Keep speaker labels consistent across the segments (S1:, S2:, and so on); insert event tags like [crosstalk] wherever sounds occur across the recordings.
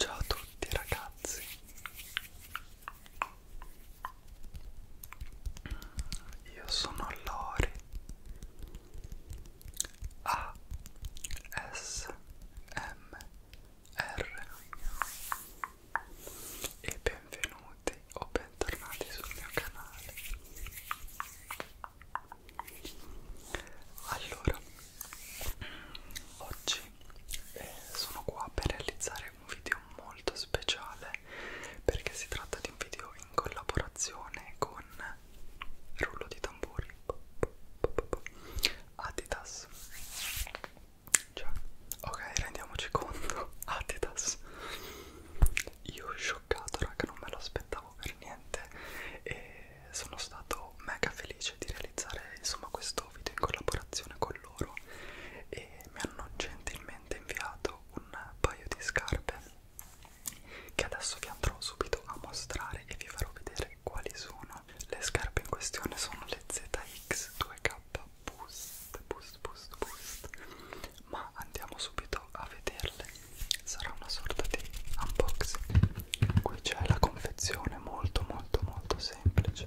S1: Ciao a tutti ragazzi Io sono Lori a S M R e benvenuti o bentornati sul mio canale allora oggi eh, sono qua per realizzare un video molto speciale perché si tratta di un video in collaborazione con con rullo di tamburi Adidas cioè, ok rendiamoci conto [laughs] Adidas io scioccato raga non me lo aspettavo per niente e sono stato mega felice di realizzare insomma questo video in collaborazione con loro e mi hanno gentilmente inviato un paio di scarpe che adesso vi andrò subito a mostrare e vi farò vedere quali sono le scarpe in questione sono le ZX2K Boost Boost Boost Boost ma andiamo subito a vederle sarà una sorta di unboxing qui c'è la confezione molto molto molto semplice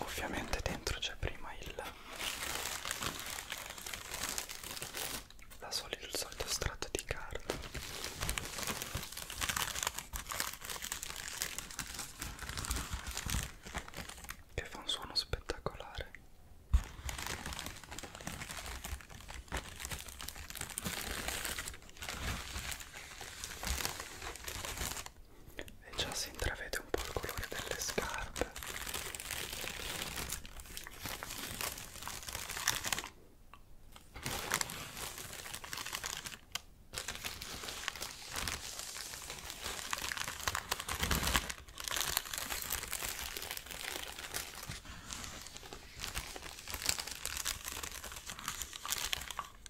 S1: Ovviamente dentro c'è prima il la solito, il solito strato di carta che fa un suono spettacolare e già si intravede un po' il colore delle scarpe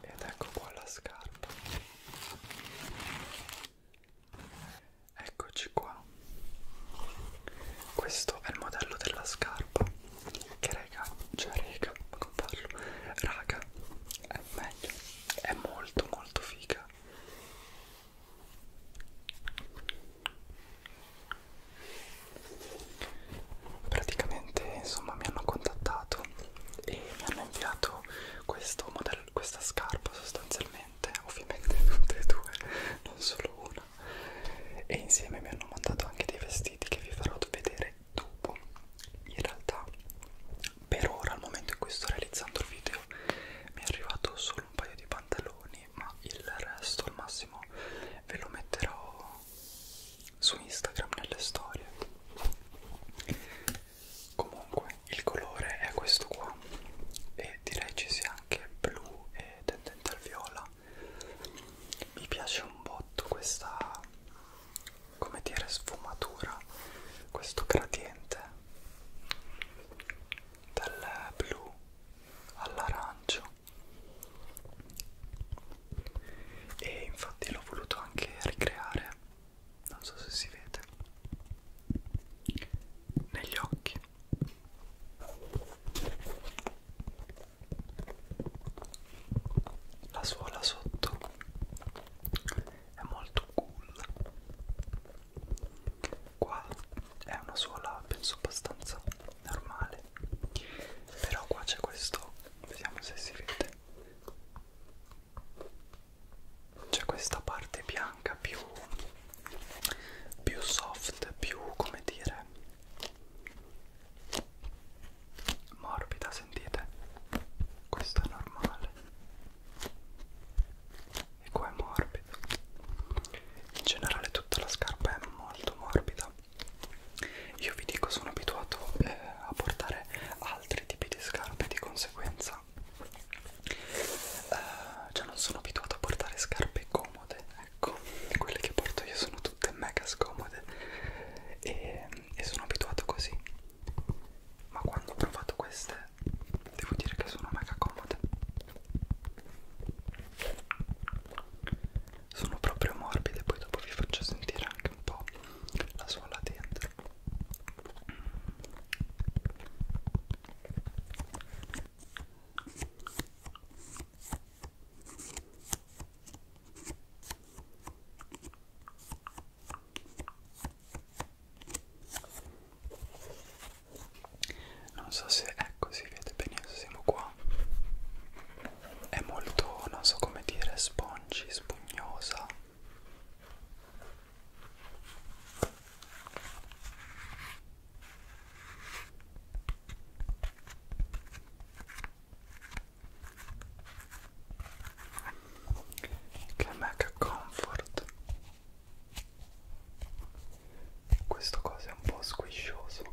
S1: ed ecco qua la scarpa eccoci qua questo è il modello della scarpa che raga cioè raga come parlo raga è meglio è molto molto figa praticamente insomma mi hanno contattato e mi hanno inviato questo modello, questa scarpa sostanzialmente, ovviamente [laughs] tutte e due, non solo una, e insieme mi hanno mandato anche dei vestiti che vi farò vedere dopo. In realtà, per ora, al momento in cui sto realizzando il video, mi è arrivato solo un paio di pantaloni, ma il resto al massimo ve lo metterò su Instagram nelle storie comunque il colore è questo qua e direi ci sia anche blu e tendente al viola mi piace un botto questa come dire sfumatura questo gradiente dal blu all'arancio e infatti l'ho voluto anche ricreare non so se si vede negli occhi la suola sotto è molto cool qua è una suola penso abbastanza normale però qua c'è questo vediamo se si vede c'è questa parte bianca più più soft più come dire morbida sentite questo è normale e qua è morbido in generale tutta la scarpa è molto morbida io vi dico sono abituato eh, a portare a altri tipi di scarpe di conseguenza uh, cioè non sono abituato a portare scarpe comode ecco quelle che porto io sono tutte mega scomode e, e sono abituato così ma quando ho provato queste devo dire che sono mega comode sono proprio morbide poi dopo vi faccio sentire anche un po' la suola dentro non so se ecco si vede benissimo, siamo qua. È molto, non so come dire, spongi, spugnosa che mega comfort questo coso è un po' squiscioso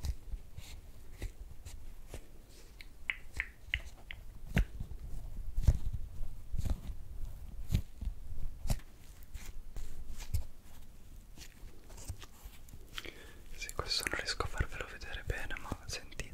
S1: sì, questo non riesco a farvelo vedere bene, ma sentite.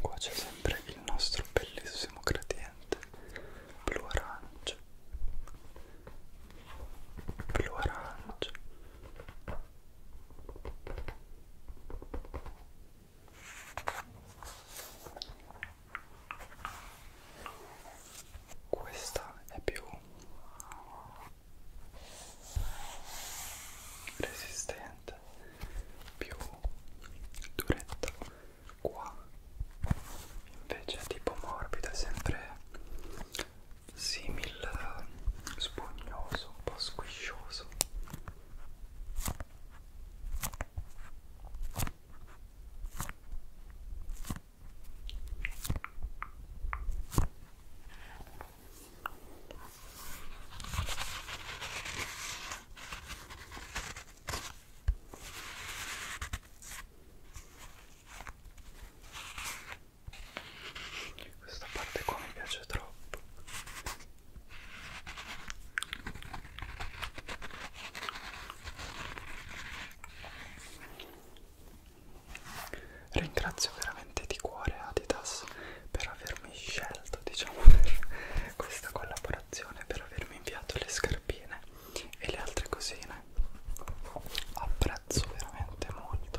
S1: Qua c'è sempre il nostro bellissimo gradiente blu-arancio, blu-arancio. Questa è più resistente più duretta qua invece è tipo morbida sempre simil spugnoso un po' squiscioso questa parte qua mi piace troppo. Ringrazio veramente di cuore Adidas per avermi scelto, diciamo, per questa collaborazione, per avermi inviato le scarpine e le altre cosine. Apprezzo veramente molto.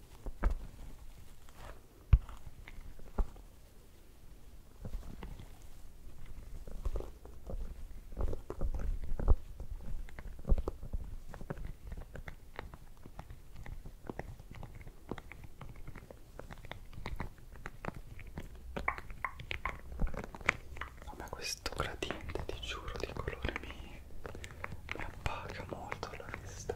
S1: Vabbè questo gradiente ti giuro di colore mi mi, mi appaga molto la vista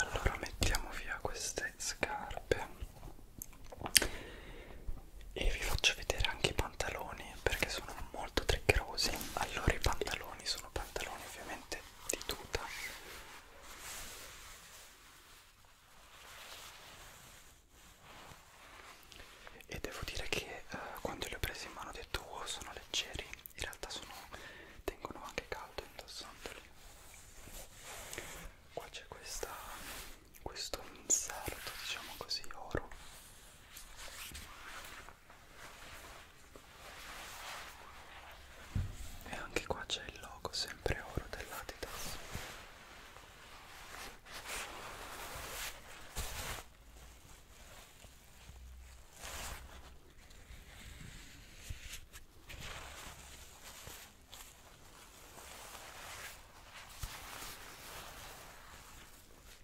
S1: Allora mettiamo via queste scarpe e vi faccio vedere anche i pantaloni perché sono molto triggerosi allora i pantaloni sono pantaloni ovviamente di tuta e devo dire che eh, quando li ho presi in mano ho detto oh, sono leggeri in realtà sono tengono anche caldo indossandoli qua c'è questa questo inserto diciamo così oro e anche qua c'è il logo sempre oro dell'Adidas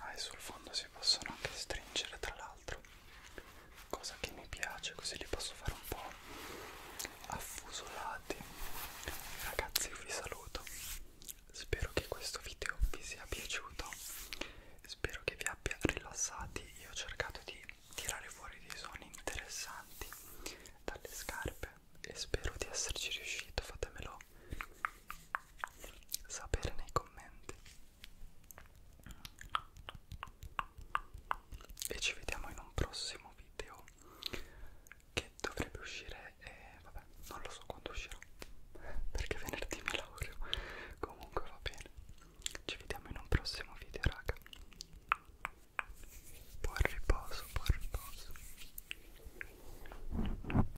S1: ah, e sul fondo si possono anche stringere tra l'altro cosa che mi piace così li posso fare un po' affusolati ragazzi io vi saluto spero che questo video vi sia piaciuto spero che vi abbia rilassati io ho cercato di tirare fuori dei suoni interessanti dalle scarpe e spero di esserci riuscito fatemelo sapere nei commenti e ci vediamo in un prossimo video che dovrebbe uscire e eh, vabbè non lo so quando uscirà perché venerdì mi laureo comunque va bene ci vediamo in un prossimo video raga buon riposo buon riposo